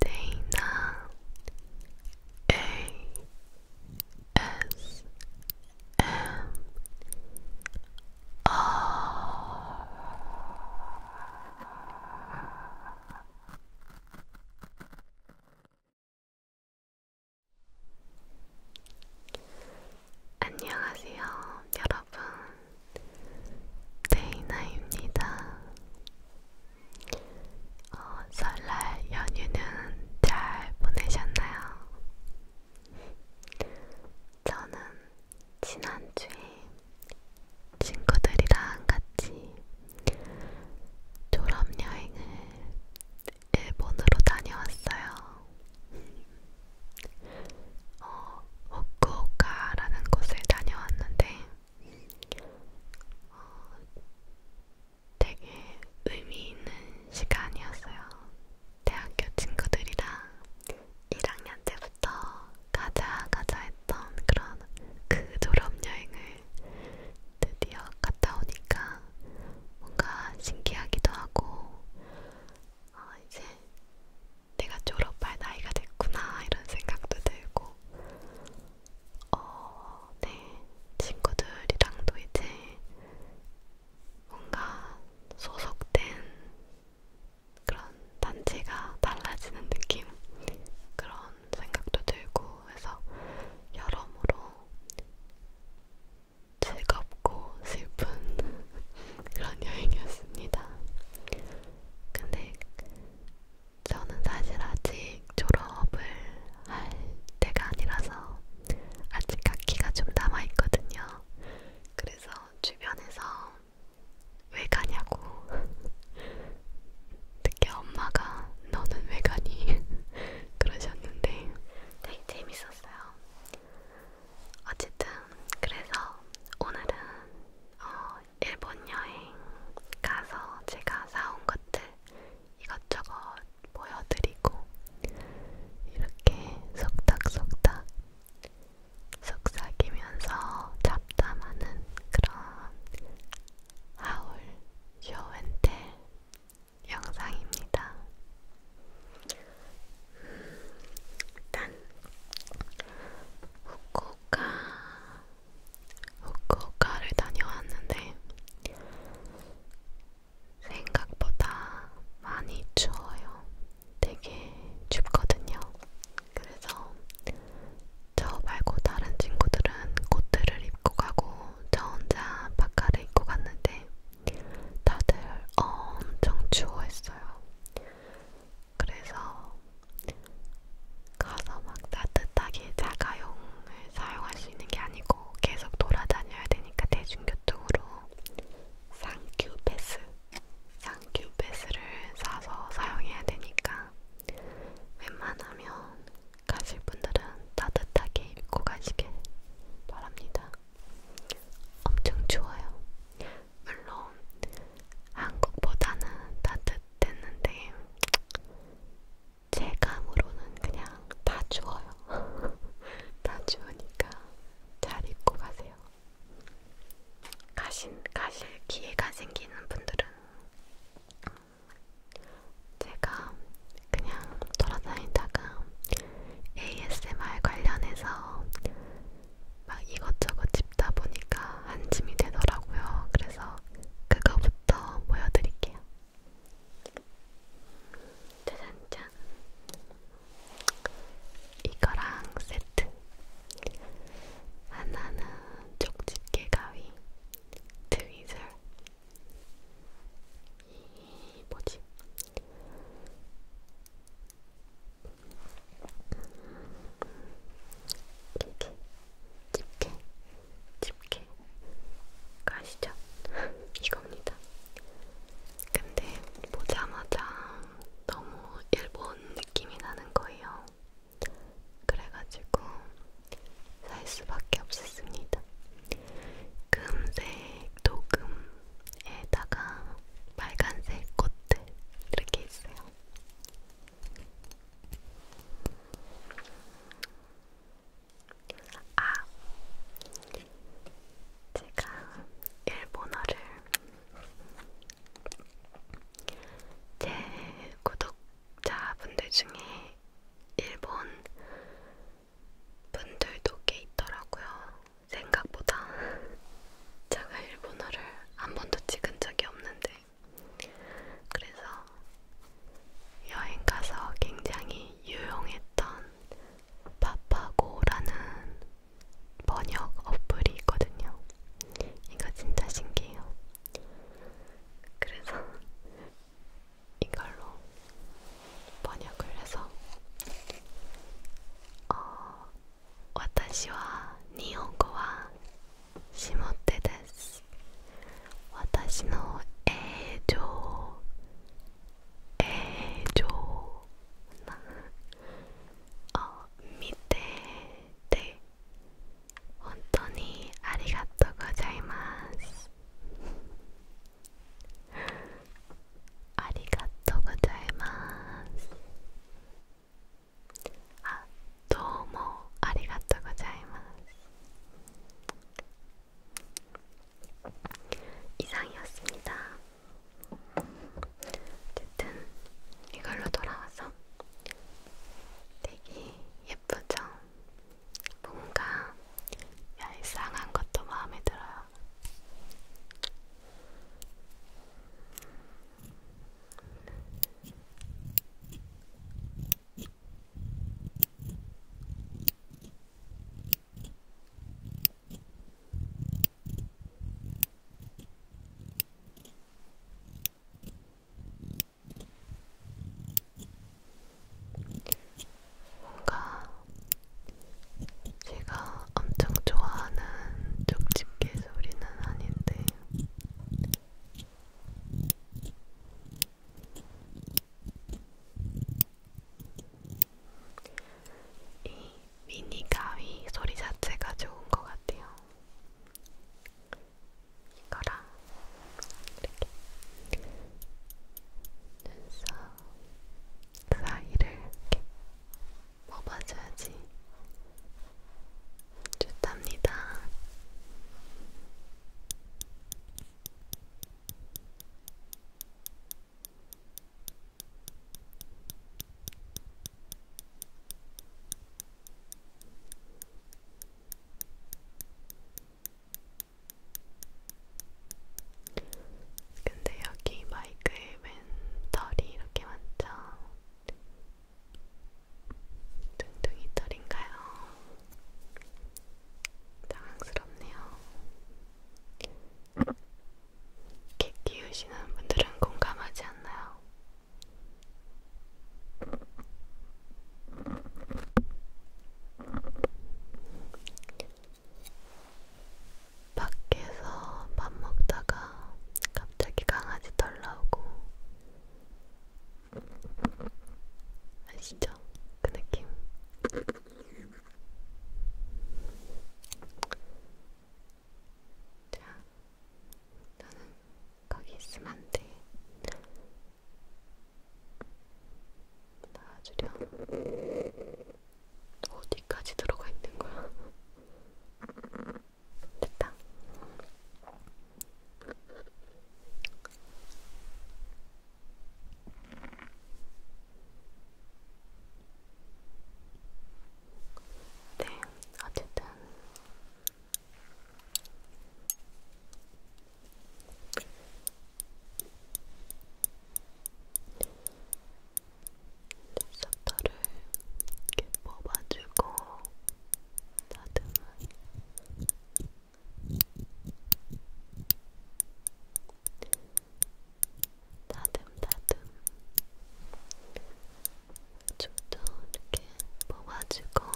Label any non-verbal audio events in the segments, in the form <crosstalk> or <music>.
데이나 ASMR 안녕하세요, 여러분. 데이나입니다. 어, 설날 연휴는 잘 보내셨나요? 저는 지난주에 친구들이랑 같이 졸업여행을 일본으로 다녀왔어요. 어, 후쿠오카라는 곳을 다녀왔는데 어, 되게 의미 있는 시간이었어요. 대학교 친구들이랑 1학년 때부터 가자 가자 했던 그런 그 졸업여행을 드디어 갔다 오니까 뭔가 신기하기도 하고 아 이제 내가 졸업할 나이가 됐구나 이런 생각도 들고 어, 네 친구들이랑도 이제 뭔가 소속된 그런 단체가 달라지는 느낌 그런 생각도 들고 해서 여러모로 즐겁고 슬픈 <laughs> 그런 여행이었습니다. 근데 저는 사실 아직 졸업을 할 때가 아니라서 아직 학기가 좀 남아있거든요. 그래서 주변에서 왜 가냐고 <laughs> 특히 엄마가 너는 왜 가니? <laughs> 그러셨는데 되게 재밌었어요. 어쨌든 그래서 오늘은 어 일본 여행 가서 제가 사온 것들 이것저것 보여드리고 이렇게 속닥속닥 속삭이면서 잡담하는 그런 하울 쇼앤텔 영상입니다. 일단 음, 후쿠오카 후쿠오카를 다녀왔는데 생각보다 많이 추워요. 되게 춥거든요. 그래서 저 말고 다른 친구들은 코트를 입고 가고 저 혼자 바카를 입고 갔는데 다들 엄청 추워했어요. 그래서 가서 막 따뜻하게 자가용을 사용할 수 있는 게 아니고 계속 돌아다녀야 되니까 대중교통으로 쌍큐 패스, 쌍큐 패스를 사서 사용해야 되니까 웬만하면 가실 분들은 따뜻하게 입고 가시길 바랍니다. 엄청 좋아요. 물론 한국보다는 따뜻했는데 체감으로는 그냥 다 추워요. <laughs> 다 추우니까 잘 입고 가세요. 가신, 가실 기회가 생기는 분들은 제가 그냥 돌아다니다가 ASMR 관련해서 막 이것저것 집다 보니까 한 짐이 되더라고요. 그래서 그거부터 보여드릴게요. 짜잔짠. 이거랑 세트. 하나는 쪽집게 가위, 트위즐. 이 뭐지? 이렇게 집게, 집게 가시죠? <laughs> 이겁니다. 근데 보자마자 너무 일본 느낌이 나는 거예요. 그래가지고 살 수밖에 없었습니다. 금색 도금에다가 빨간색 꽃들 이렇게 있어요. 아, 제가 일본어를 제 구독자분들 중에 일본 분들도 꽤 있더라고요. 생각보다 제가 일본어를 한 번도 찍은 적이 없는데 그래서 여행 가서 굉장히 유용했던 파파고라는 번역 어플이 있거든요. 이거 진짜 신기해요. 그래서 이걸로 번역을 해서 어, 私は日本語は下手です私の映像。映像。なを見てて本当にありがとうございますありがとうございます あ、どうもありがとうございます。이상이었습니다。 아, 어쨌든이걸로돌아와서되게예쁘죠 뭔가 얄쌍한 것도 마음에 들어요. 뭔가 제가 엄청 좋아하는 쪽집게 소리는 아닌데 이 미니 가위 소리 자체가 좋은 것 같아요. 이거랑 이렇게 눈썹 사이를 이렇게 먹어줘야지. 좋답니다. 근데 여기 마이크에 웬 털이 이렇게 많죠? 둥둥이 털인가요? 당황스럽네요. 개 키우시는 분들은 공감하지 않나요? 밖에서 밥 먹다가 갑자기 강아지 덜 나오고 아시죠? 그 느낌 자, 나는 거기 있으면 안 돼 나와주렴 어디까지 들어가 있는 거야? 됐다. 네, 어쨌든 찹쌀터를 이렇게 뽑아주고 다듬은 다듬 다듬 좀더 이렇게 뽑아주고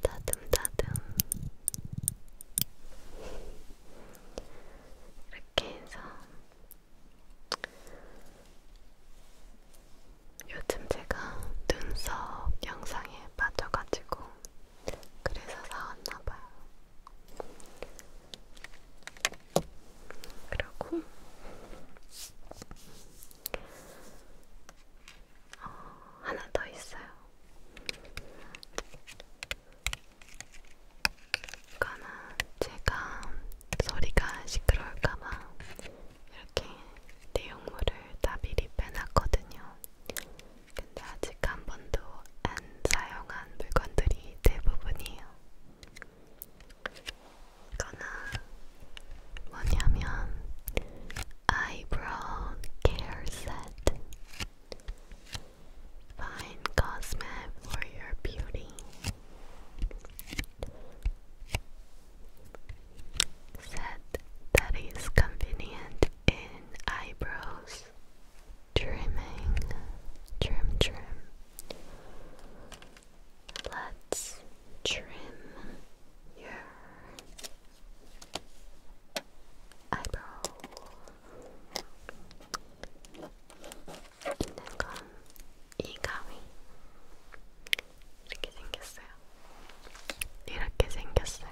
다듬 다듬 이렇게 해서 요즘 제가 눈썹 영상에 빠져가지고 그래서 사왔나봐요. 그리고 어, 하나 더 있어요. 그러니까는 제가 소리가 시끄러울까봐 이렇게 내용물을 다 미리 빼놨거든요. 근데 아직 한 번도 안 사용한 물건들이 대부분이에요. 이거는 뭐냐면 아이브로우 케어 세트 Fine Cosme for Your Beauty said that is convenient in eyebrows trimming trim trim let's trim your eyebrow and then come 이 가위 이렇게 생겼어요. 이렇게 생겼어요.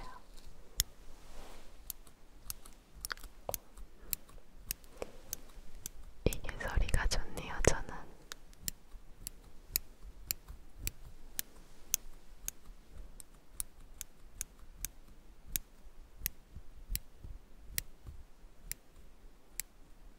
이게 소리가 좋네요, 저는.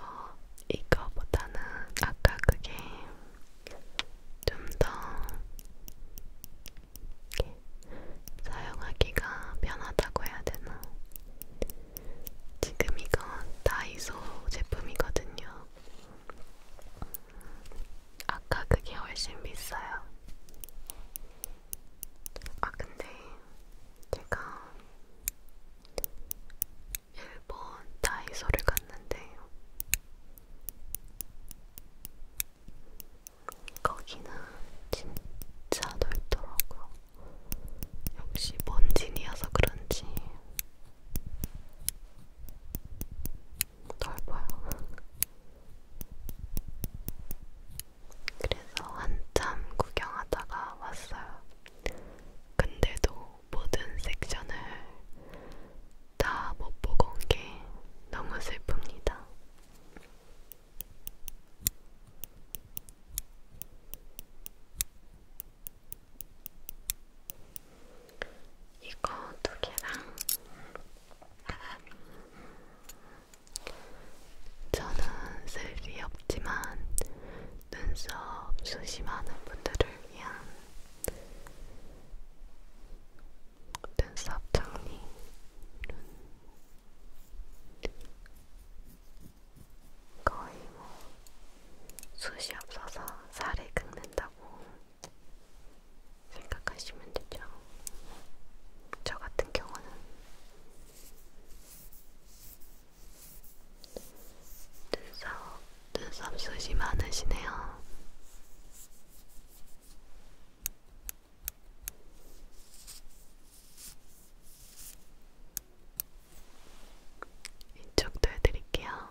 어, 이거보다는 아까 그게 좀 더 사용하기가 편하다고 해야 되나? 지금 이건 다이소 제품이거든요. 음, 아까 그게 훨씬 비싸요. 아 근데 제가 일본 다이소를 갔는데 거기는 진짜 넓더라고요. 역시 먼진이어서 그런지 넓어요. 그래서 한참 구경하다가 왔어요. 근데도 모든 섹션을 다 못 보고 온 게 너무 슬픕니다. 이거 두 개랑 저는 쓸리 없지만 눈썹 숱이 많은 분들을 위한 눈썹 정리 거의 뭐 숱이 없어서 살이 긁는다고 생각하시면 되죠. 저 같은 경우는 눈썹, 눈썹 숱이 많으시네요. 이쪽도 해드릴게요.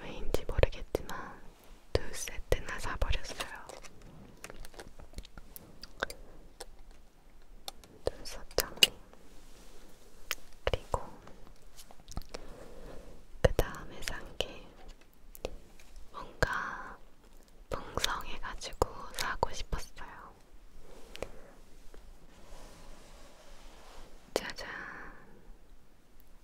왜인지 모르겠지만 두 세트나 사버렸어요. 눈썹 정리. 그리고 그 다음에 산 게 뭔가 풍성해가지고 사고 싶었어요. 짜잔.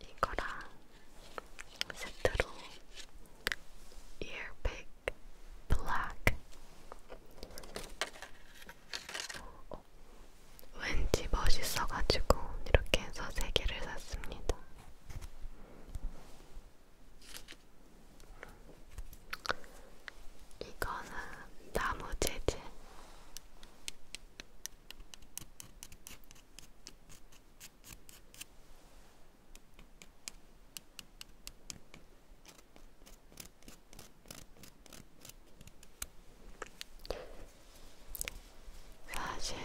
이거랑 세트로 earpick black 어, 어. 왠지 멋있어가지고 이렇게 해서 세 개를 샀습니다. 이거는 나무 재질 사실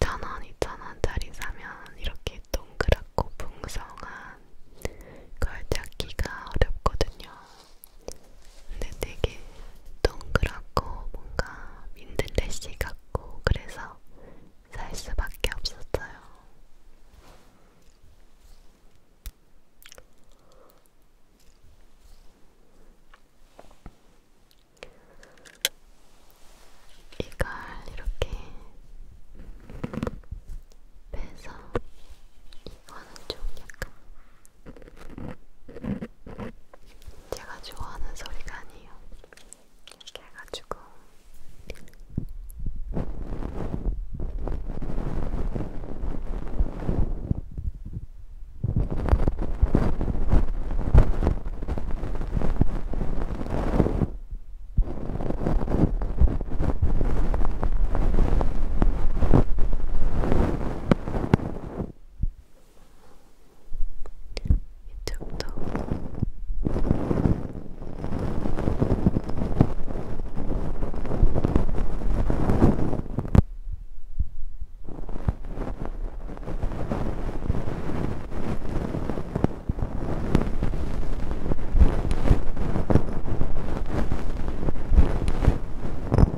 천원, 이천원짜리 사면 이렇게 동그랗고 풍성한 걸 찾기가 어렵거든요. 근데 되게 동그랗고 뭔가 민들레씨 같고 그래서 살 수밖에 없었어요. 이걸 이렇게 빼서 이거는 좀 약간 제가 좋아하는 소리가 아니에요. 이렇게 해가지고 이쪽도 이쪽도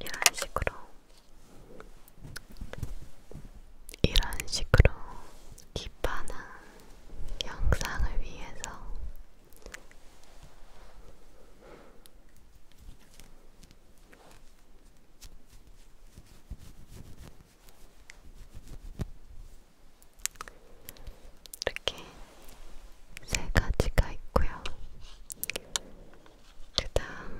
이런 식으로 이런 식으로 기판은 영상을 위해서 이렇게 세 가지가 있고요. 그 다음은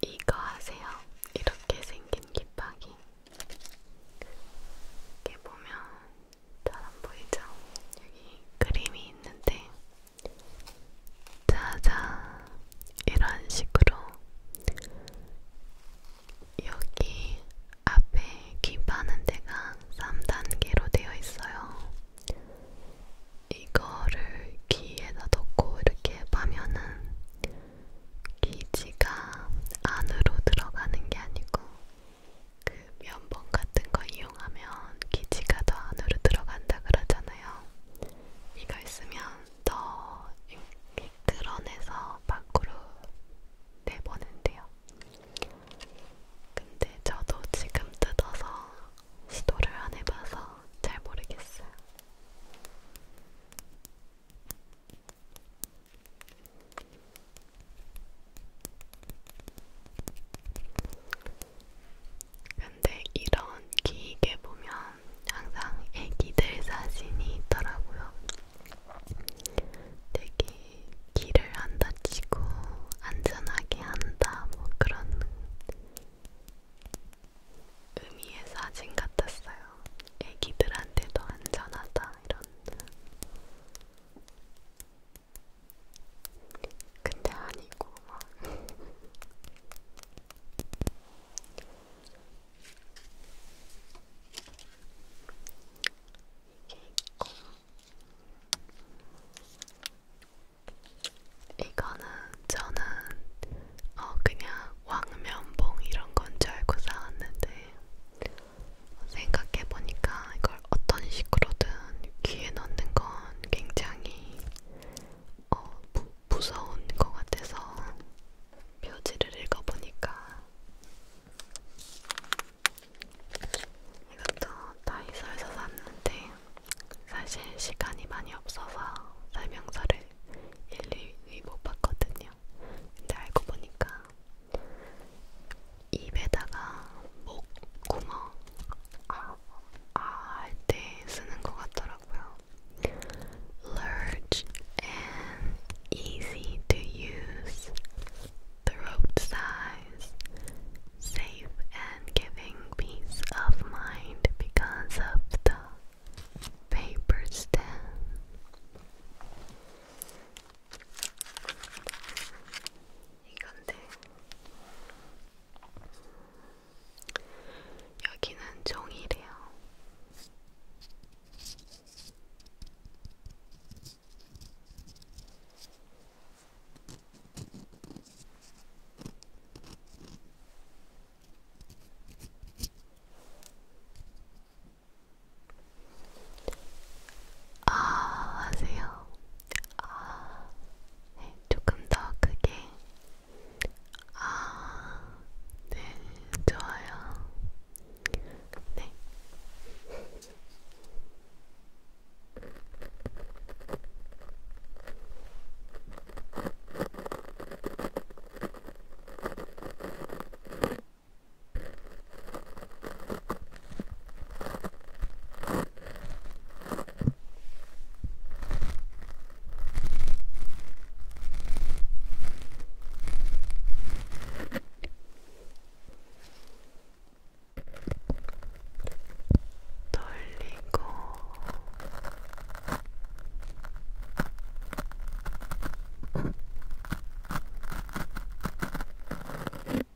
이거 아세요? 이렇게 생긴 깃박이. 이게 보면 잘 안보이죠? 여기 그림이 있는데 자자 이런 식으로 여기 앞에 귀 파는 데가 3단계로 되어 있어요. 이거를 귀에다 넣고 이렇게 파면은 귀지가 안으로 들어가는 게 아니고 그 면봉 같은 거 이용하면 기지가 더 안으로 들어간다 그러잖아요. 이거 있으면 더 이렇게 끌어내서 밖으로 내보는데요. 근데 저도 지금 뜯어서 시도를 안 해봐서 잘 모르겠어요. 근데 이런 기계 보면 항상 애기들 사진이 있더라고요. 되게 길을 안 다치고 안전하게 한다 뭐 그런 의미의 사진 같았어요. 애기들한테도 안전하다 이런. 근데 아니고 막 이게 있고 이거는 저는 어 그냥 왕면봉 이런 건 줄 알고 사왔는데 생각해보니까 이걸 어떤 식으로든 귀에 넣는 건 굉장히 어, 무, 무서운 것 같아서 표지를 읽어보니까 이것도 다이소에서 샀는데 사실 시간이 많이 없어서 설명서를 일일이 못 봤거든요. 근데 알고 보니까 입에다가 목 구멍 아할때 Large and easy to use, throat size, safe and giving peace of mind because of the paper stem. 이건데 여기는 종이래요. 아, 하세요. 아, 네, 조금 더 크게. 아, 네, 좋아요. 네. 떨리고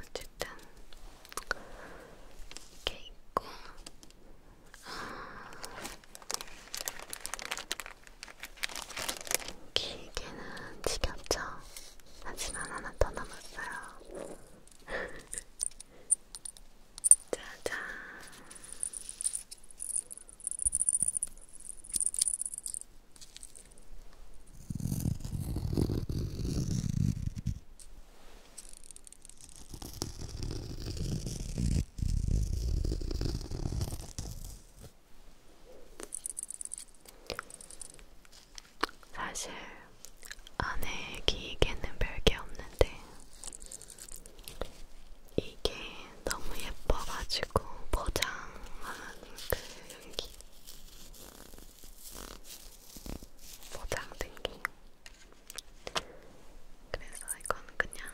어쨌든 이렇게 있고 아, 길게는 지겹죠? 하지만 하나 더 남았어요. <laughs> 짜잔 사실 안에 기계는 별게 없는데 이게 너무 예뻐가지고 포장한 그 양기 보장등기 그래서 이건 그냥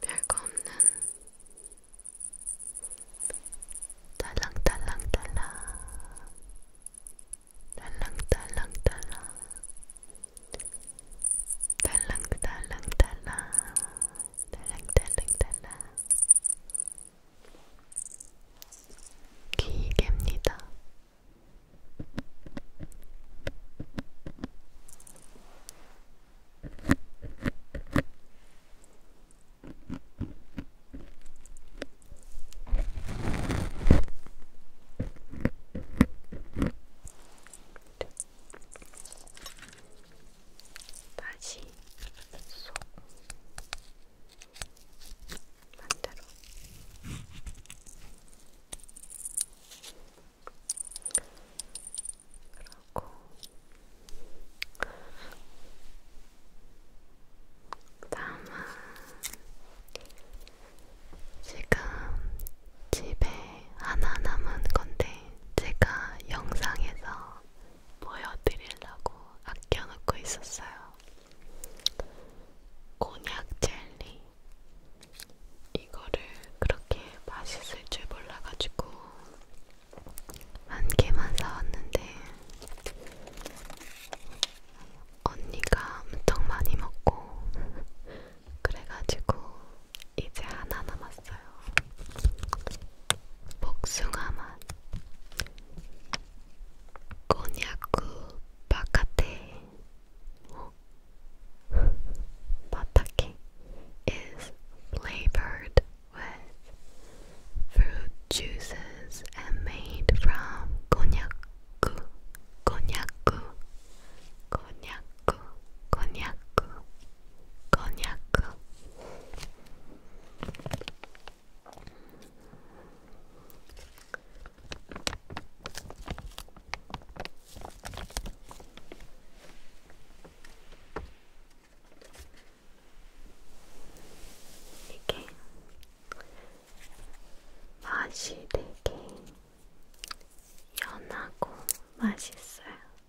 별거 없는 달랑달랑달랑 달랑달랑달랑 달랑달랑달랑 달랑달랑달랑 기계입니다. 다시 쏙 반대로 그러고 다만 지금 집에 하나 남은 건데 제가 영상에서 보여드리려고 아껴놓고 있었어요. 곤약 젤리. 이거를 그렇게 맛있을 줄 몰라가지고 한 개만 사왔는데 언니가 엄청 많이 먹고 <laughs> 그래가지고 이제 하나 남았어요. 복숭아 맛, 곤약구 바카테. is flavored with fruit juices and made from konyaku, konyaku, konyaku, konyaku, 거냐고. 이게 맛이 되게 연하고 맛있어요.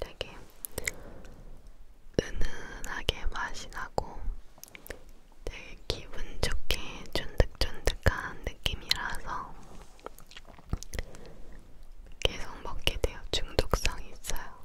되게 은은하게 맛이 나고 되게 기분 좋게 쫀득쫀득한 느낌이라서 계속 먹게 돼요. 중독성이 있어요.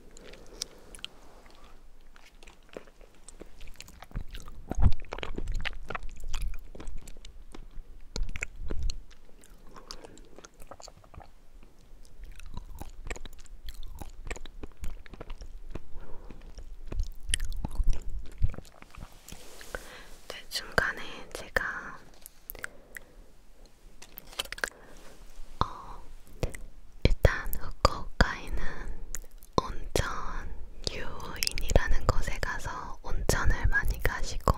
네, 중간에 제가 어, 일단 후쿠오카에는 온천 유인이라는 곳에 가서 온천을 많이 가시고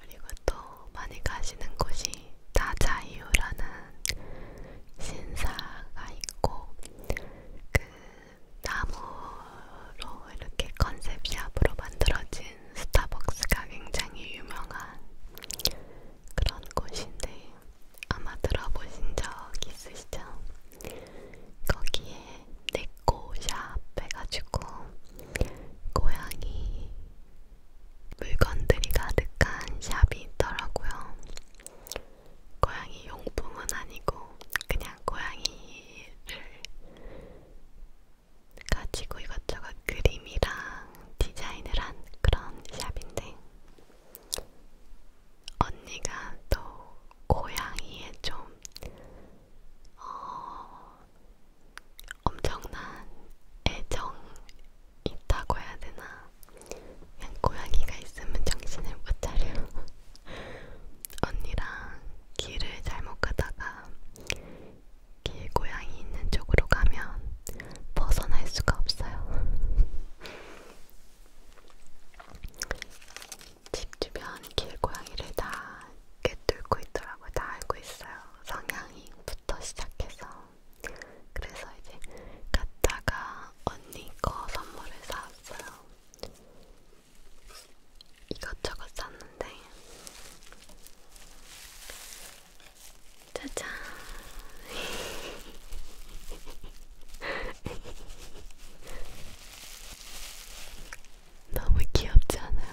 그리고 또 많이 가시는 곳이 다자유라는 신사가 있고 그 나무로 이렇게 컨셉샵으로 만들어진 스타벅스가 굉장히 유명한 그런 곳인데 아마 들어보신 적 있으시죠? 거기에 네코샵 해가지고 고양이 물건들이 가득한 샵이 있더라고요. 고양이 용품은 아니고 그냥 고양이를 가지고 이것저것 그림이랑 디자인을 한 그런 샵인데 언니가 또 고양이에 좀 어, 엄청난 애정 있다고 해야 되나? 그냥 고양이가 있으면 정신을 못 차려. <laughs> 언니랑 길을 잘못 가다가 길고양이 있는 쪽으로 가면 벗어날 수가 없어요. <laughs> 집 주변 길고양이를 다 꿰뚫고 있더라고요. 다 알고 있어요. 성향이부터 시작해서. 그래서 이제 갔다가 언니 거 선물을 사왔어요. 이것저것 샀는데 짜잔. <laughs> 너무 귀엽지 않아요?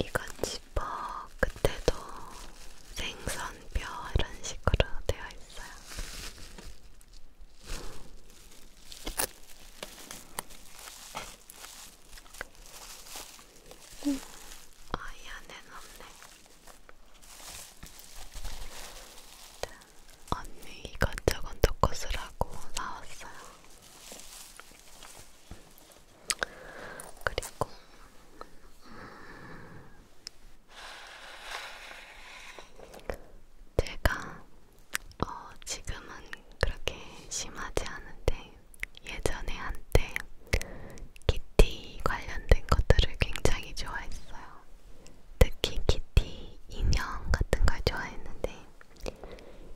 이건 지퍼 끝에도 생선뼈 이런 식으로 되어 있어요. 오, 아이 안엔 없네. 언니 이것저것 놓고 쓰라고 사왔어요. 그리고 제가 어, 지금은 그렇게 심하지 않은데 예전에 한때 키티 관련된 것들을 굉장히 좋아했어요. 특히 키티 인형 같은 걸 좋아했는데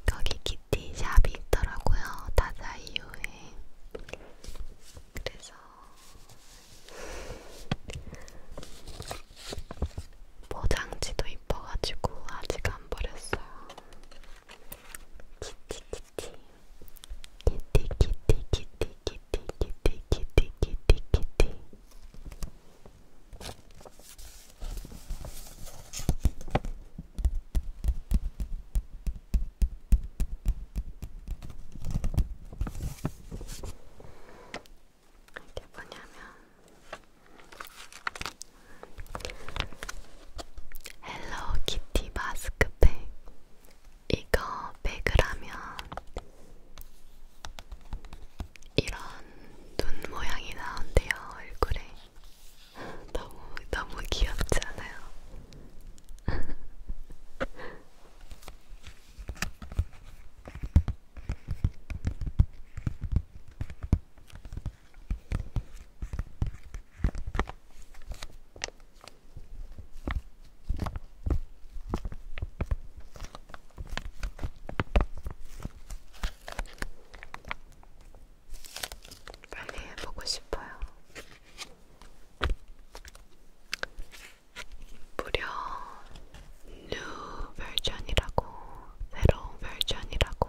거기 키티 샵이 있더라고요. 다자이유에. 그래서 포장지도 이뻐가지고 아직 안 버렸어요. 키티키티 키티키티키티키티키티키티키티키티 이게 뭐냐면 헬로키티 마스크팩 이거 백을 하면 이런 눈 모양이 나온대요 얼굴에 <laughs> 너무 너무 귀엽지 않아요? <laughs> 빨리 해보고 싶어요. 무려 new 버전이라고 새로운 버전이라고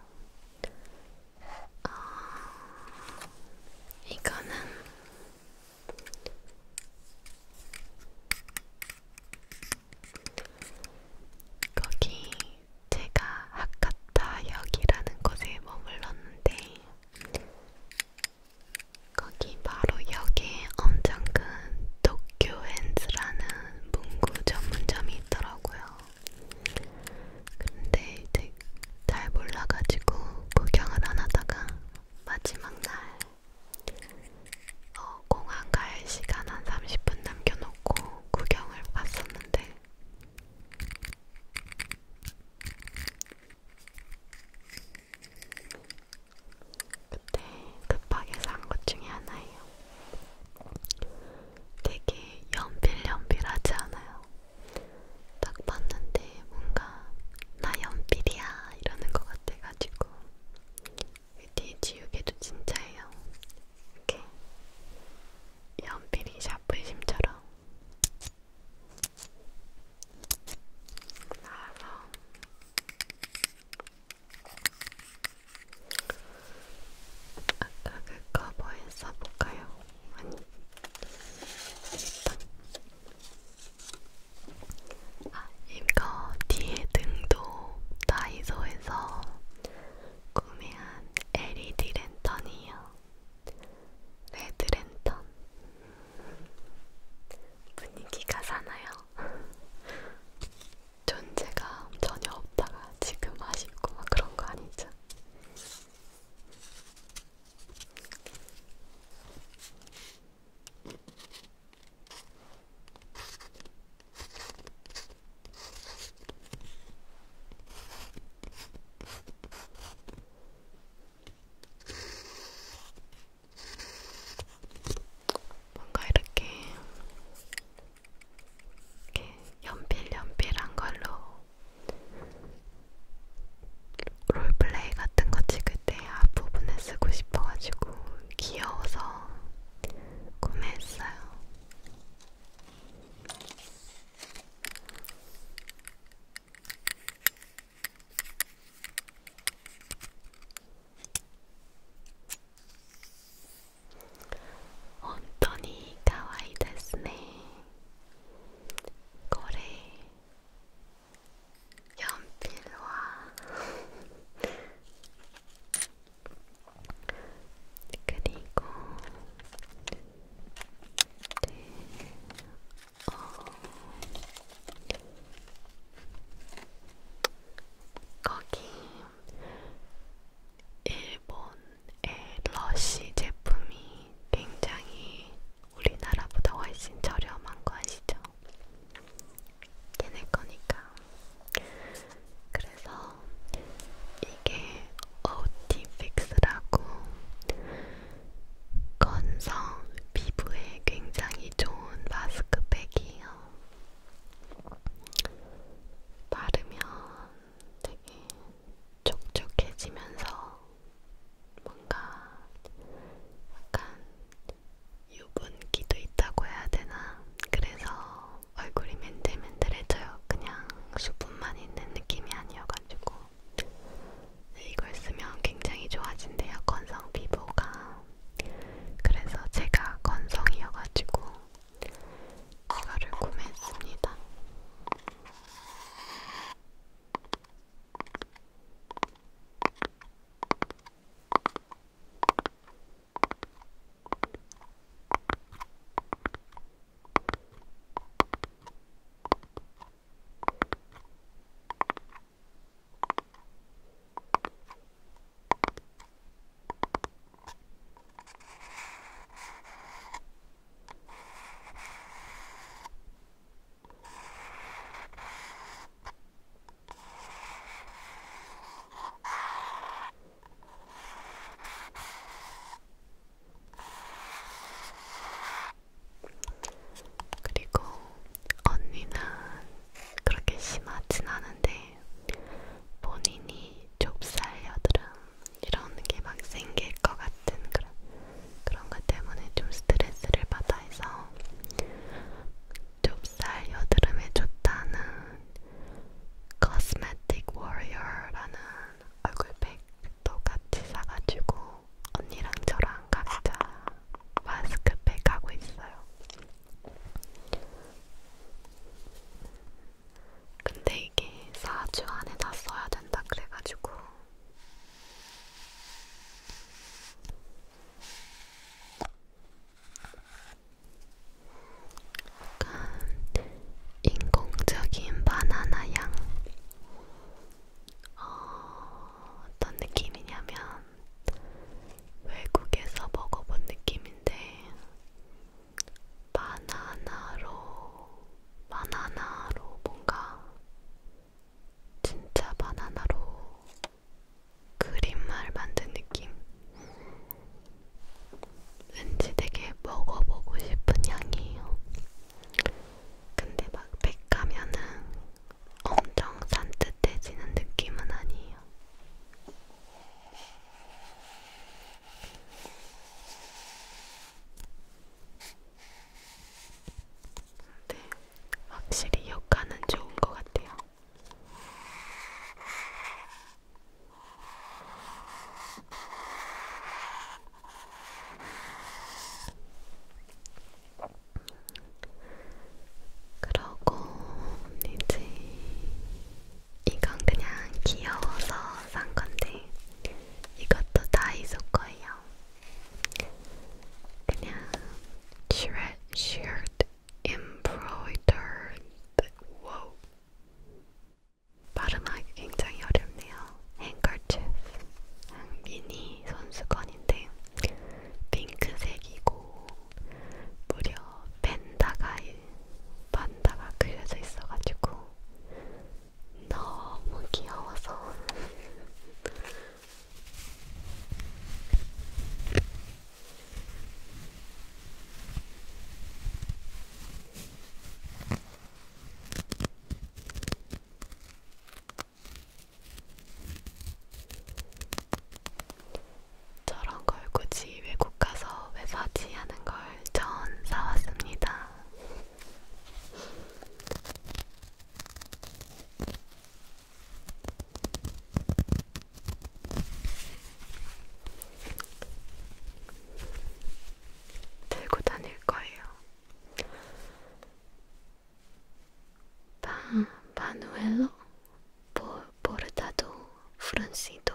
어, 이거는 거기 제가 하카타역이라는 곳에 머물렀는데 거기 바로 역에 엄청 큰 도쿄 앤즈라는 문구 전문점이 있더라고요. 근데 이제 잘 몰라가지고 구경을 안 하다가 마지막 날 어, 공항 갈 시간 한 30분 남겨놓고 구경을 갔었는데 그때 급하게 산 것 중에 하나예요. 되게 연필연필하지 않아요. 딱 봤는데 뭔가 나 연필이야 이러는 것 같아가지고 뒤 지우개도 진짜예요. 이렇게 연필이 샤프심처럼 나와서 아까 그 커버에 써볼까요? 아니, 일단 아, 이거 뒤에 등도 다이소에서 구매한 LED 랜턴이에요. 레드 랜턴 분위기가 사나요? 존재가 전혀 없다가 지금 아쉽고 막 그런 거 아니죠? 뭔가 이렇게 이렇게 연필연필한 걸로 롤플레이 같은 거 찍을 때 앞부분에 쓰고 싶어가지고 귀여워서 구매했어요. 本当に可愛いですねこれ4ピルは그리고네어거기 일본의 러쉬 제품이 굉장히 우리나라보다 훨씬 저렴한 거 아시죠? 얘네 거니까. 그래서 이게 OTFix라고 건성 피부에 굉장히 좋은 마스크팩이에요. 바르면 되게 촉촉해지면서 뭔가 약간 유분기도 있다고 해야 되나? 그래서 얼굴이 맨들맨들해져요. 그냥 수분만 있는 느낌이 아니어가지고 네, 이걸 쓰면 굉장히 좋아진대요. 건성 피부가. 그래서 제가 건성이어가지고 이거를 구매했습니다. 그리고 언니는 그렇게 심하진 않은데 본인이 좁쌀 여드름 이런 게 막 생길 것 같은 그런 그런 것 때문에 좀 스트레스를 받아 해서 좁쌀 여드름에 좋다는 Cosmetic Warrior라는 얼굴팩도 같이 사가지고 언니랑 저랑 각자 마스크팩 하고 있어요. 근데 이게 4주 안에 다 써야 된다 그래가지고 약간 인공적인 바나나 향 어, 어떤 느낌이냐면 외국에서 먹어본 느낌인데 바나나로, 바나나로 뭔가 진짜 바나나로 그림을 만든 느낌? 왠지 되게 먹어보고 싶은 향이에요. 근데 막 백하면은 엄청 산뜻해지는 느낌은 아니에요. 네, 확실히 효과는 좋은 것 같아요. 그러고 이제 이건 그냥 귀여워서 산 건데 이것도 다이소 거예요. 그냥 shirt, shirt embroidered. Wow. 발음하기 굉장히 어렵네요. handkerchief, 음, 미니 손수건인데 핑크색이고 무려 펜다가 판다가 그려져 있어가지고 너무 귀여워서 저런 걸 굳이 외국 가서 왜 사지 하는 걸 전 사왔습니다. 들고 다닐 거예요. 바, 바누엘로, 보, 보르타도, 프란시도,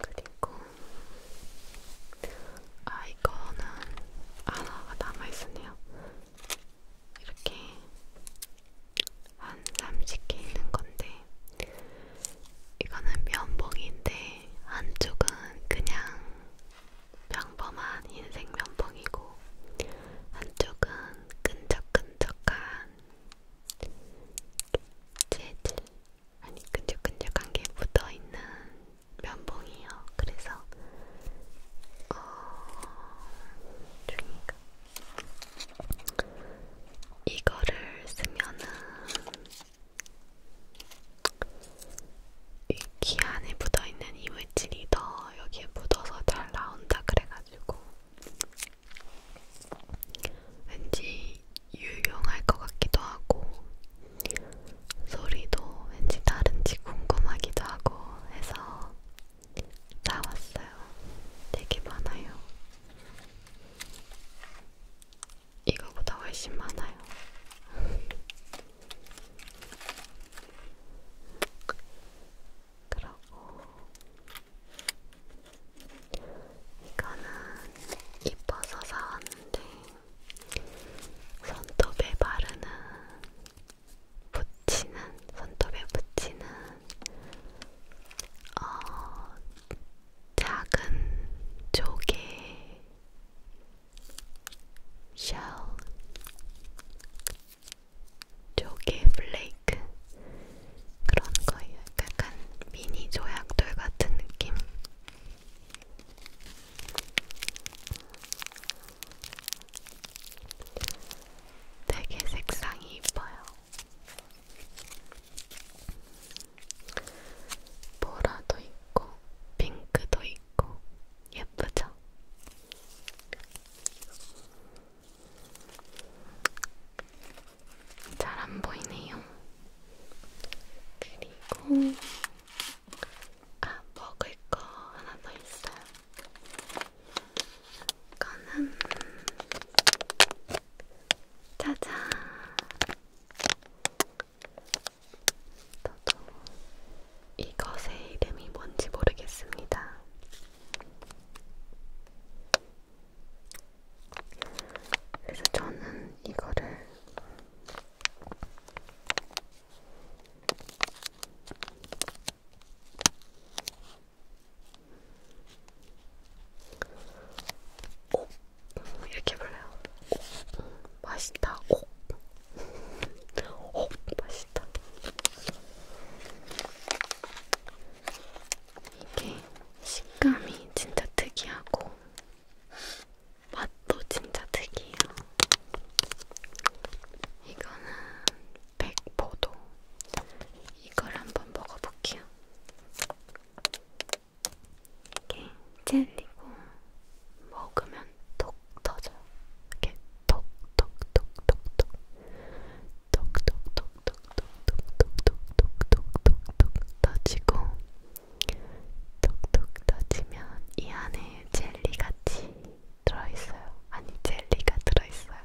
그리고 아 이거는 하나가 남아있으네요. 이렇게 한 30개 있는 건데 이거는 면봉인데 한쪽은 그냥 평범한 흰색 면봉이고 한쪽은 끈적끈적한 재질 아니 끈적끈적한 게 묻어있는 면봉이요. 그래서 어... 중이가 이거를 쓰면은 이귀 안에 묻어있는 이물질이 더 여기에 묻어서 잘 나온다 그래가지고 왠지 유용할 것 같기도 하고 소리도 왠지 다른지 궁금하기도 하고 해서 사왔어요. 되게 많아요. 이거보다 훨씬 많아요. <laughs> 그러고 이거는 이뻐서 사왔는데 손톱에 바르는 붙이는 손톱에 붙이는 어, 작은 조개 쉘 조개 플레이크 그런 거예요. 약간 미니 조약돌 같은 느낌. 되게 색상이 이뻐요. 보라도 있고, 핑크도 있고, 예쁘죠? 잘안 보이네요. 그리고 아 먹을 거 하나 더 있어요. 이거는 짜잔. 저도 이것의 이름이 뭔지 모르겠습니다. 그래서 저는 이거를 오! 이렇게 불러요. 오! 맛있다. 오! 오! <laughs> 맛있다. 이게 식감이 진짜 특이하고 맛도 진짜 특이해요. 이거는 백포도. 이걸 한번 먹어볼게요. 이게 젤리고 먹으면 톡 터져요. 이렇게 톡톡톡톡톡 톡톡톡톡톡톡톡톡톡톡 터지고 톡톡 터지면 이 안에 젤리같이 들어있어요. 아니 젤리가 들어있어요.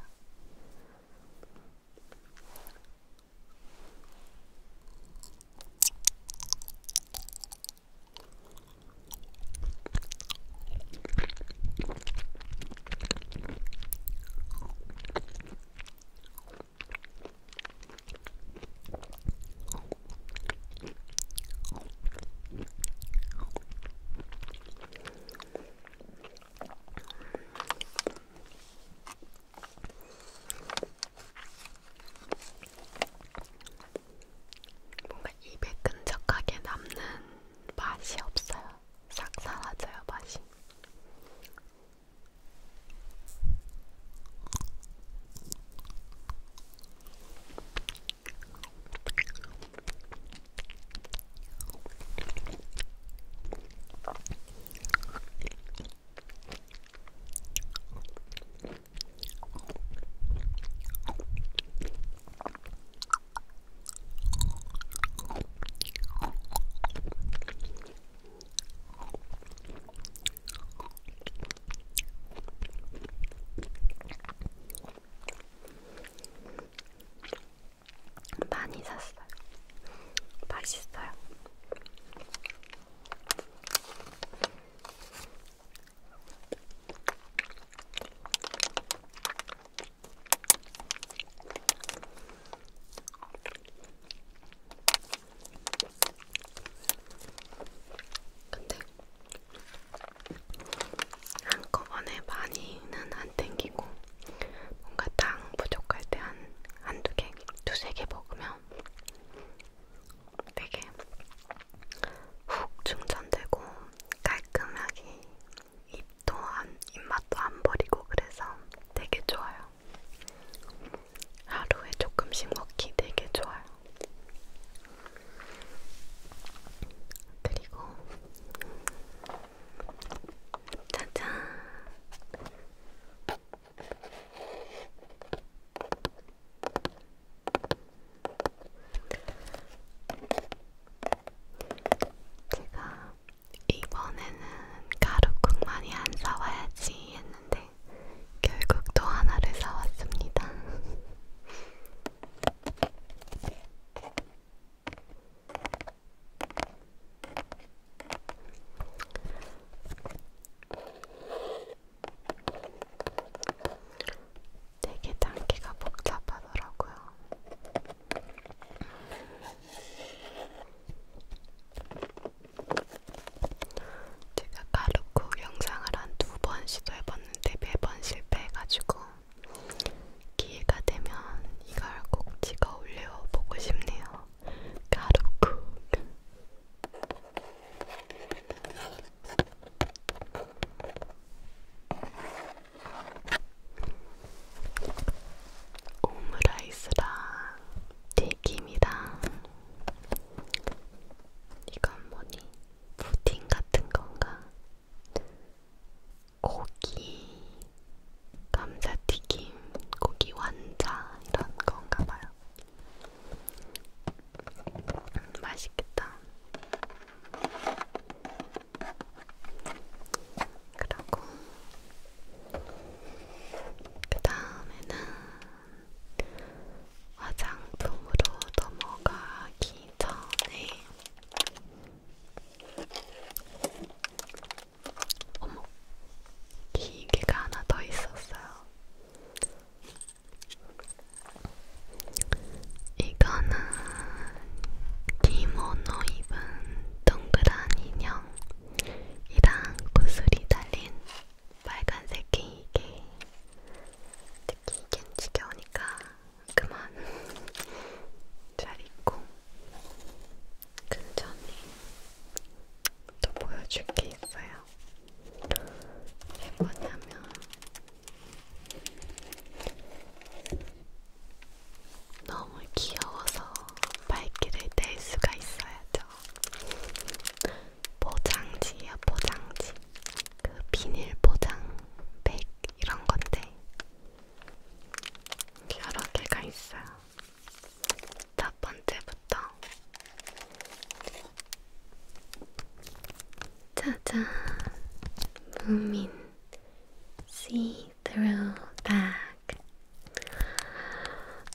뭔가 입에 끈적하게 남는 맛이 없어요. 싹 사라져요 맛이. 많이 샀어요. 맛있어요. 근데 한꺼번에 많이는 안 땡기고 뭔가 당 부족할 때한 한두 개, 두 세 개 먹으면 되게 훅 충전되고 깔끔하게 입도 안, 입맛도 안 버리고 그래서 되게 좋아요. 하루에 조금씩 먹기 되게 좋아요. 그리고 짜잔 제가 이번에는 가루국 많이 안 사와야지 했는데 결국 또 하나를 사왔습니다. <laughs> 되게 단계가 복잡하더라고요. 제가 가루쿠 영상을 한 두 번 시도해봤는데 매번 실패해가지고 기회가 되면 이걸 꼭 찍어 올려보고 싶네요. 가루쿠 오므라이스랑 튀김이랑 이건 뭐니? 푸딩 같은 건가? 고기, 감자튀김, 고기 완자 이런 건가 봐요. 음, 맛있겠다. 그러고 그 다음에는 화장품으로 넘어가기 전에 어머 기계가 하나 더 있었어요. 이거는 기모노 입은 동그란 인형이랑 구슬이 달린 빨간색 게이게 특히 이겐 지겨우니까 그만 <laughs> 잘 입고 근데 그 언니 또 보여줄 게 있어요 왜 뭐냐면 너무 귀여워서 발길을 뗄 수가 있어야죠. 포장지야 포장지. 그 비닐 포장백 이런 건데 여러 개가 있어요. 첫 번째부터 짜잔 무민. 시 throwback.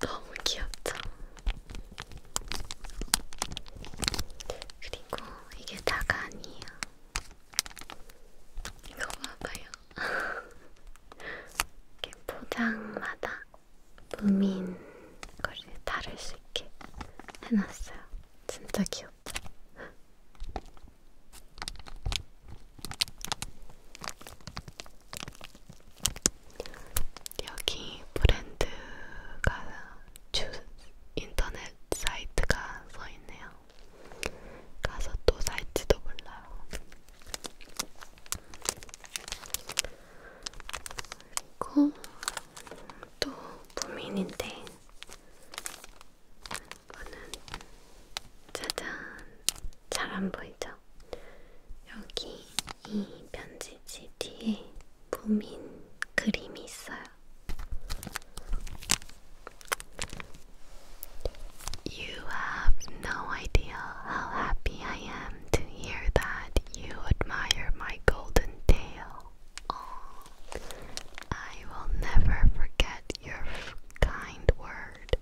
너무 귀엽죠? 그리고 이게 다가 아니에요. 이거 봐봐요. <laughs> 이렇게 포장마다 무민 거를 다를 수 있게 해놨어요. 진짜 귀엽죠? 여기 브랜드가 주 인터넷 사이트가 써 있네요. 가서 또 살지도 몰라요. 그리고 또 무민인데 You have no idea how happy I am to hear that you admire my golden tail. I will never forget your kind word.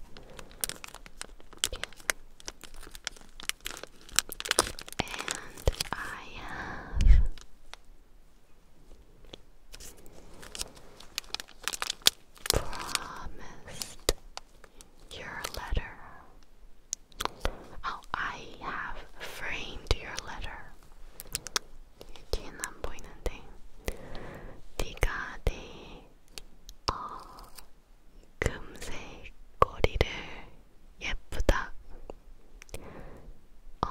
And I have promised your letter. Oh, I have framed your letter. Εκεί είναι ένα που είναι 어, 금색 꼬리를 예쁘다, 어,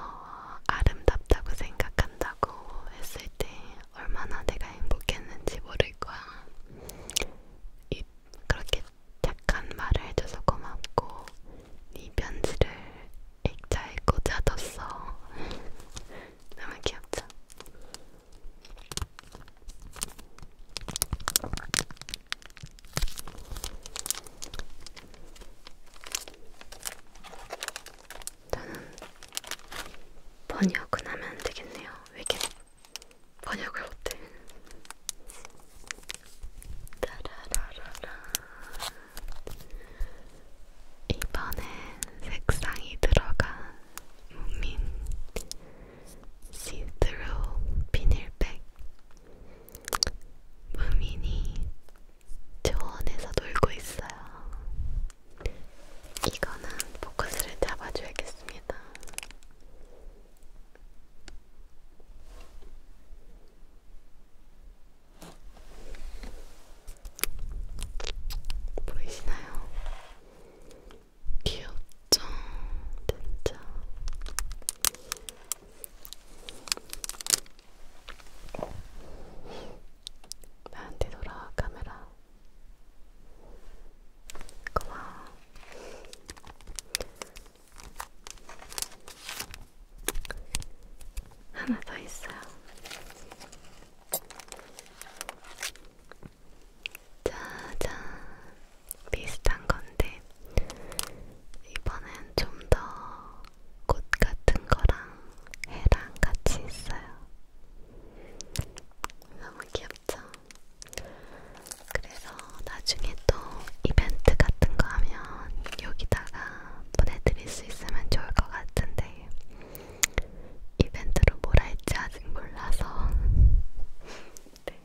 아름답다고 생각한다고 했을 때 얼마나 내가 행복했는지 모를 거야. 이, 그렇게 착한 말을 해줘서 고맙고 네 편지를 액자에 꽂아뒀어. 너무 귀엽죠? 저는 번역은 하면 안 되겠네요. 왜 이렇게 번역을 못해? 따라라라라. 이번엔 색상이 들어간 무민 시드로 비닐백 무민이 조원에서 놀고 있어요. 이거는 포커스를 잡아줘야겠습니다. 보이시나요? 귀엽죠? 진짜. 나한테 돌아와 카메라. 고마워. 하나 더 있어요. 짜잔 비슷한 건데 이번엔 좀 더 꽃 같은 거랑 해랑 같이 있어요. 너무 귀엽죠? 그래서 나중에 또 이벤트 같은 거 하면 여기다가 보내드릴 수 있으면 좋을 것 같은데 이벤트로 뭘 할지 아직 몰라서 <laughs> 네.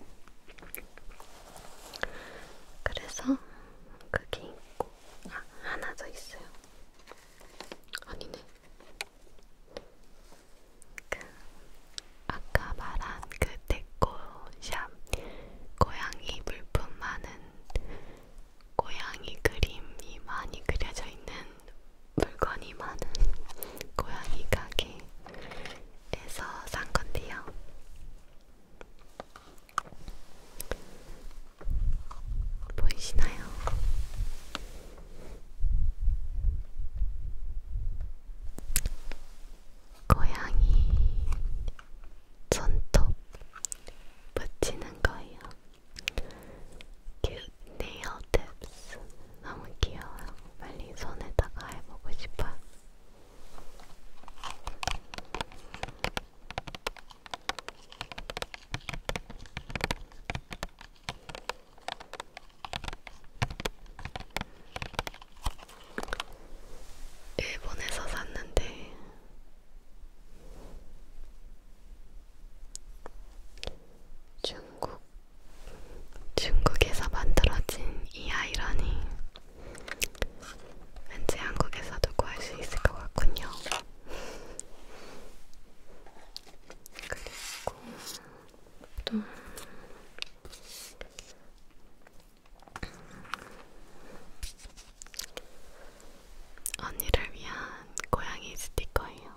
그래서 그게 있고 아, 하나 더 있어요. 아니네. 그 아까 말한 그 데코샵 고양이 물품 많은 고양이 그림이 많이 그려져 있는 물건이 많은 고양이 가게에서 산 건데요. 보이시나요? 고양이 손톱 붙이는 거예요. 큐트 네일 팁스 너무 귀여워요. 빨리 손에다가 해보고 싶어요. 일본에서 샀는데 중국, 중국에서 만들어진 이 아이러니 왠지 한국에서도 구할 수 있을 것 같군요. 그리고 또 언니를 위한 고양이 스티커예요.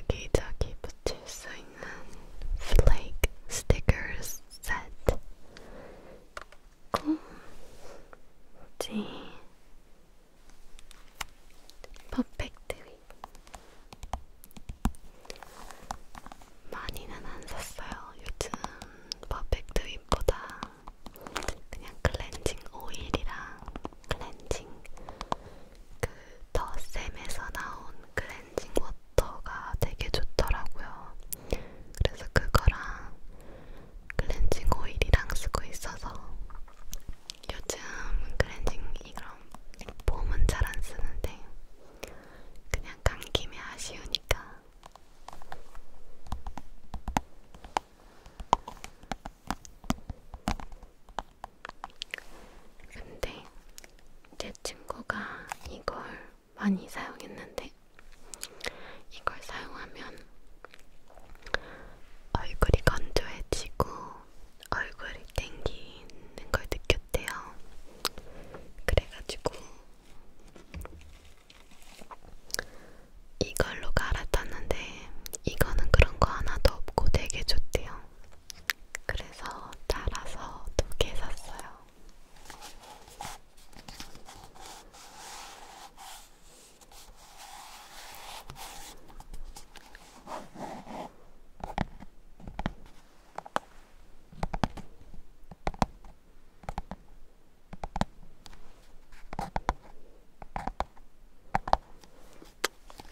여기저기 붙일 수 있는 플레이크 스티커스 세트 지 퍼펙트 위 많이는 안 샀어요. 요즘 퍼펙트 윗보다 그냥 클렌징 오일이랑 클렌징 그더샘에서 나온 클렌징 워터가 되게 좋더라고요. 그래서 그거랑 클렌징 오일이랑 쓰고 있어서 요즘 클렌징 이런 폼은 잘 안 쓰는데 그냥 간 김에 아쉬우니까 근데 제 친구가 이걸 많이 사용했는데 이걸 사용하면 얼굴이 건조해지고 얼굴이 땡기는 걸 느꼈대요. 그래가지고 이걸로 갈아탔는데 이거는 그런 거 하나도 없고 되게 좋대요. 그래서 따라서 두 개 샀어요.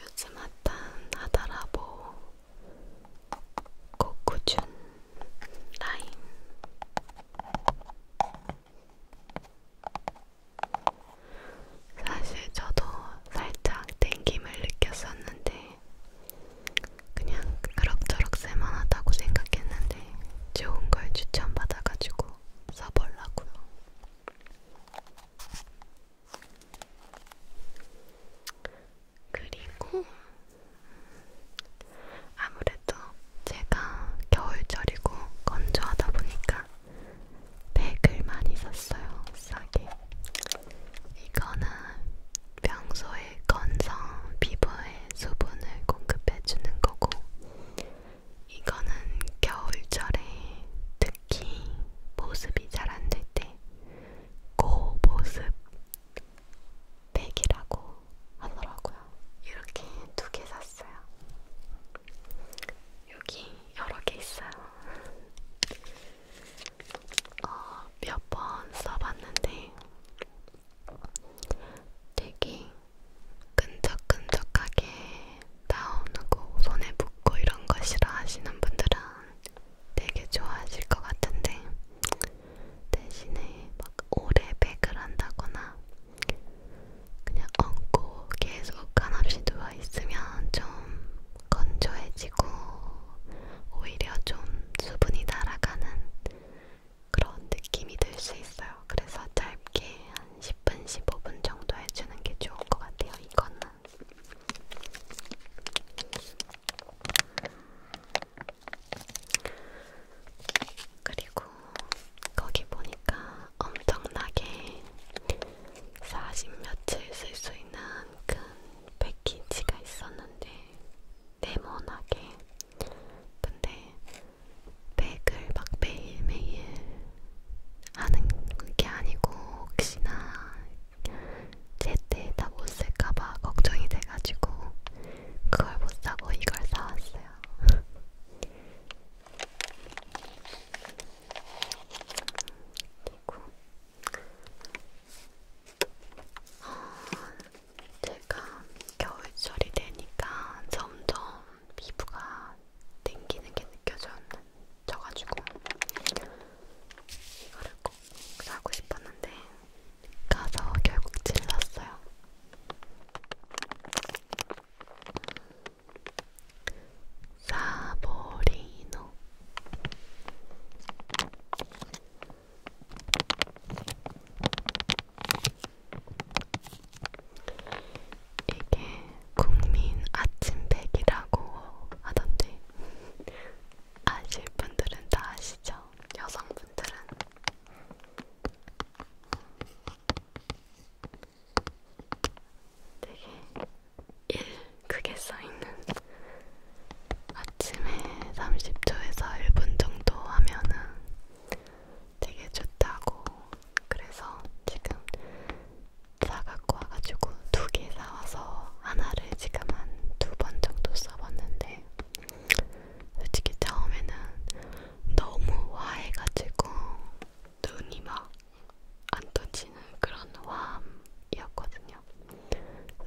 요즘 핫한 하다라보 코코준 라임 사실 저도 살짝 땡김을 느꼈었는데 그냥 그럭저럭 쓸만하다고 생각했는데 좋은 걸 추천받아가지고 써보려고요. 그리고 아무래도 제가 겨울철이고 건조하다 보니까 백을 많이 샀어요. 싸게. 이거는 평소에 건성 피부에 수분을 공급해주는 거고 이거는 겨울철에 특히 보습이 잘 안 될 때 고보습 백이라고 하더라고요. 이렇게 두 개 샀어요. 여기 여러 개 있어요. 어, 몇번 써봤는데 되게 끈적끈적하게 나오고 손에 묻고 이런 거 싫어하시는 분들은 되게 좋아하실 것 같은데 대신에 막 오래 백을 한다거나 그냥 얹고 계속 한없이 누워 있으면 좀 건조해지고 오히려 좀 수분이 날아가는 그런 느낌이 들 수 있어요. 그래서 짧게 한한 10분, 15분 정도 해주는 게 좋을 것 같아요. 이거는. 그리고 거기 보니까 엄청나게 40며칠 쓸 수 있는 큰 패키지가 있었는데 네모나게 근데 백을 막 매일매일 하는 게 아니고 혹시나 제때 다못 쓸까봐 걱정이 돼가지고 그걸 못 사고 이걸 사왔어요. 그리고 어, 제가 겨울철이 되니까 점점 피부가 땡기는 게 느껴져가지고 이거를 꼭 사고 싶었는데 가서 결국 질렀어요. 사보리노 이게 국민 아침백이라고 하던데 아실 분들은 다 아시죠? 여성분들은 되게 일 크게 써있는 아침에 30초에서 1분 정도 하면은 되게 좋다고 그래서 지금 사 갖고 와가지고 두 개 사와서 하나를 지금 한 두 번 정도 써봤는데 솔직히 처음에는 너무 화해가지고 눈이 막 안 떠지는 그런 화함이었거든요.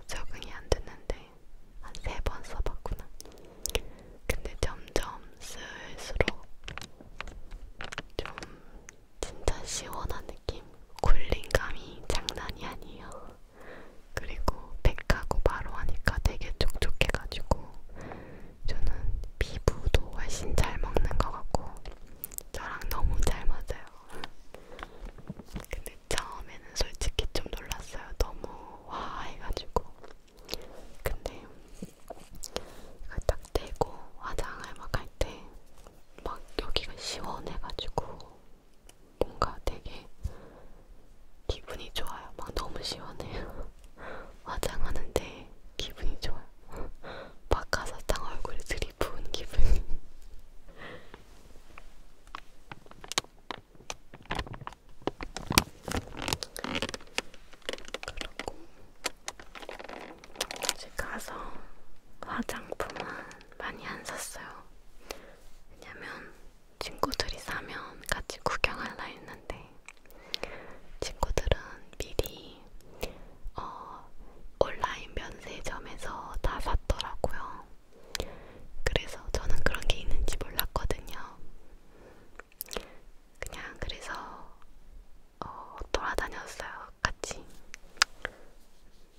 적응이 안 됐는데 한 세 번 써봤구나. 근데 점점 쓸수록 좀 진짜 시원한 느낌? 굴린감이 장난이 아니에요. 그리고 백하고 바로 하니까 되게 촉촉해가지고 저는 피부도 훨씬 잘 먹는 것 같고 저랑 너무 잘 맞아요. 근데 처음에는 솔직히 좀 놀랐어요. 너무 와 해가지고. 근데 이걸 딱 대고 화장을 막 할 때 막 여기가 시원해가지고 뭔가 되게 기분이 좋아요. 막 너무 시원해요. <laughs> 화장하는데 기분이 좋아요. 박하사탕 <laughs> 얼굴에 들이부은 기분. <laughs> 그리고 집 가서 화장품은 많이 안 샀어요. 왜냐면 친구들이 사면 같이 구경할라 했는데 친구들은 미리 어, 온라인 면세점에서 다 샀더라고요. 그래서 저는 그런 게 있는지 몰랐거든요. 그냥 그래서 어, 돌아다녔어요. 같이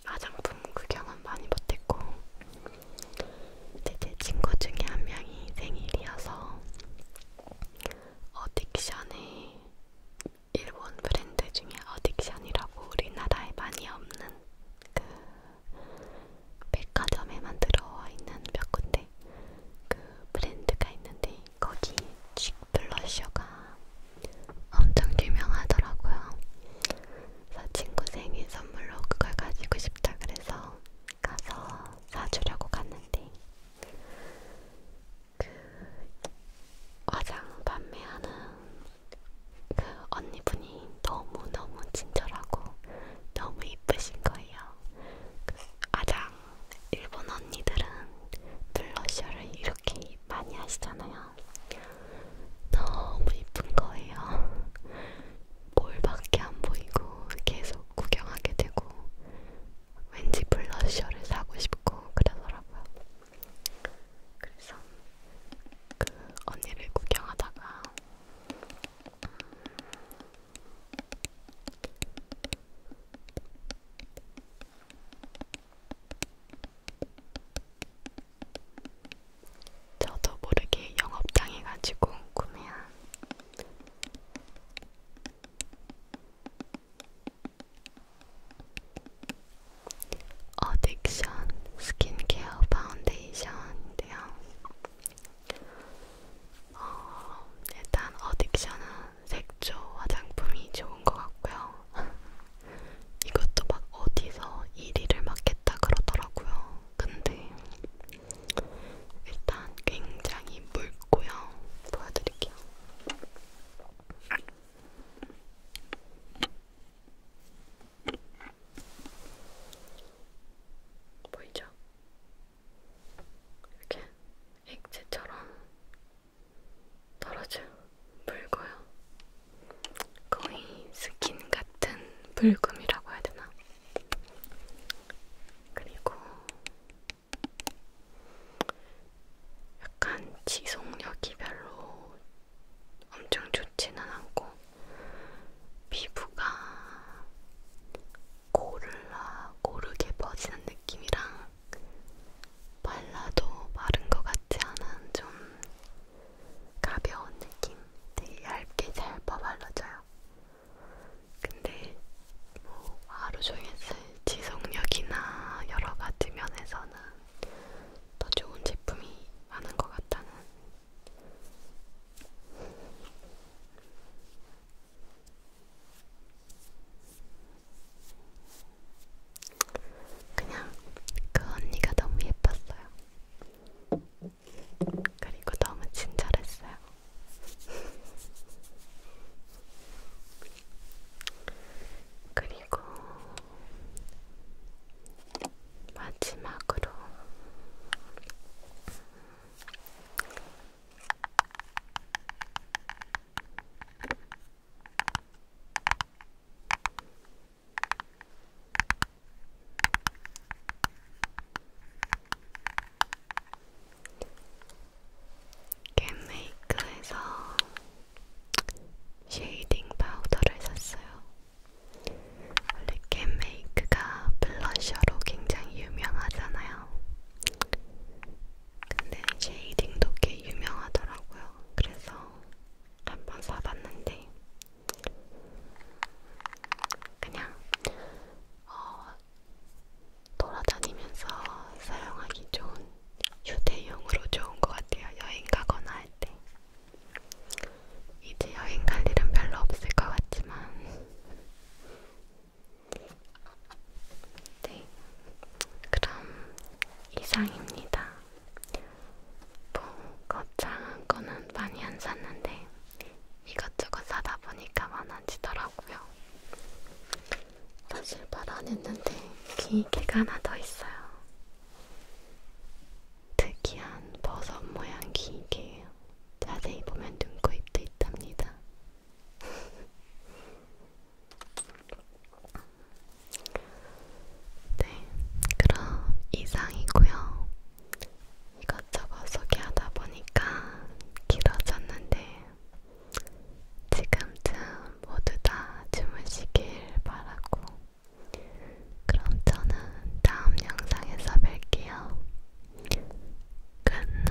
화장품 구경은 많이 못했고 이제 제 친구 중에 한 명이 생일이어서 어딕션에 일본 브랜드 중에 어딕션이라고 우리나라에 많이 없는 그 백화점에만 들어와 있는 몇 군데 그 브랜드가 있는데 거기 칙 블러셔가 엄청 유명하더라고요. 그래서 친구 생일 선물로 그걸 가지고 싶다 그래서 가서 사주려고 갔는데 그 화장 판매하는 그 언니분이 너무너무 친절하고 너무 이쁘신 거예요. 그 화장 일본 언니들은 블러셔를 이렇게 많이 하시잖아요. 너무 이쁜 거예요. 볼밖에 안 보이고 계속 구경하게 되고 왠지 블러셔를 사고 싶고 그러더라고요. 그래서 그 언니를 구경하다가 음, 저도 모르게 영업당해가지고 구매한 어딕션 스킨케어 파운데이션인데요. 어, 일단 어딕션은 색조 화장품이 좋은 것 같고요. <laughs> 이것도 막 어디서 1위를 맡겠다 그러더라고요. 근데 일단 굉장히 묽고요. 보여드릴게요. 보이죠? 이렇게 액체처럼 떨어져 붉어요. 거의 스킨 같은 붉음이라고 해야 되나? 그리고 약간 지속력이 별로 엄청 좋지는 않고 피부가 고르라 고르게 퍼지는 느낌이랑 발라도 마른 것 같지 않은 좀 가벼운 느낌? 되게 얇게 잘 발라져요. 근데 뭐 하루 종일 쓸 지속력이나 여러 가지 면에서는 더 좋은 제품이 많은 것 같다는 그냥 그 언니가 너무 예뻤어요. 그리고 너무 친절했어요. 그리고 마지막으로 겟메이크에서 쉐이딩 파우더를 샀어요. 원래 겟메이크가 블러셔로 굉장히 유명하잖아요. 근데 쉐이딩도 꽤 유명하더라고요. 그래서 한번 사봤는데 그냥 어, 돌아다니면서 사용하기 좋은 휴대용으로 좋은 것 같아요. 여행 가거나 할 때. 이제 여행 갈 일은 별로 없을 것 같지만 네, 그럼 이상입니다. 봄거창한 뭐 거는 많이 안 샀는데 이것저것 사다 보니까 많아지더라고요. 사실 발언했는데 기계가 하나 더 있어요. 특이한 버섯 모양 기계예요. 자세히 보면 눈코입도 있답니다. 네, 그럼 이상이고요. 이것저것 소개하다 보니까 길어졌는데 지금쯤 모두 다 주무시길 바라고 그럼 저는 다음 영상에서 뵐게요. Good night.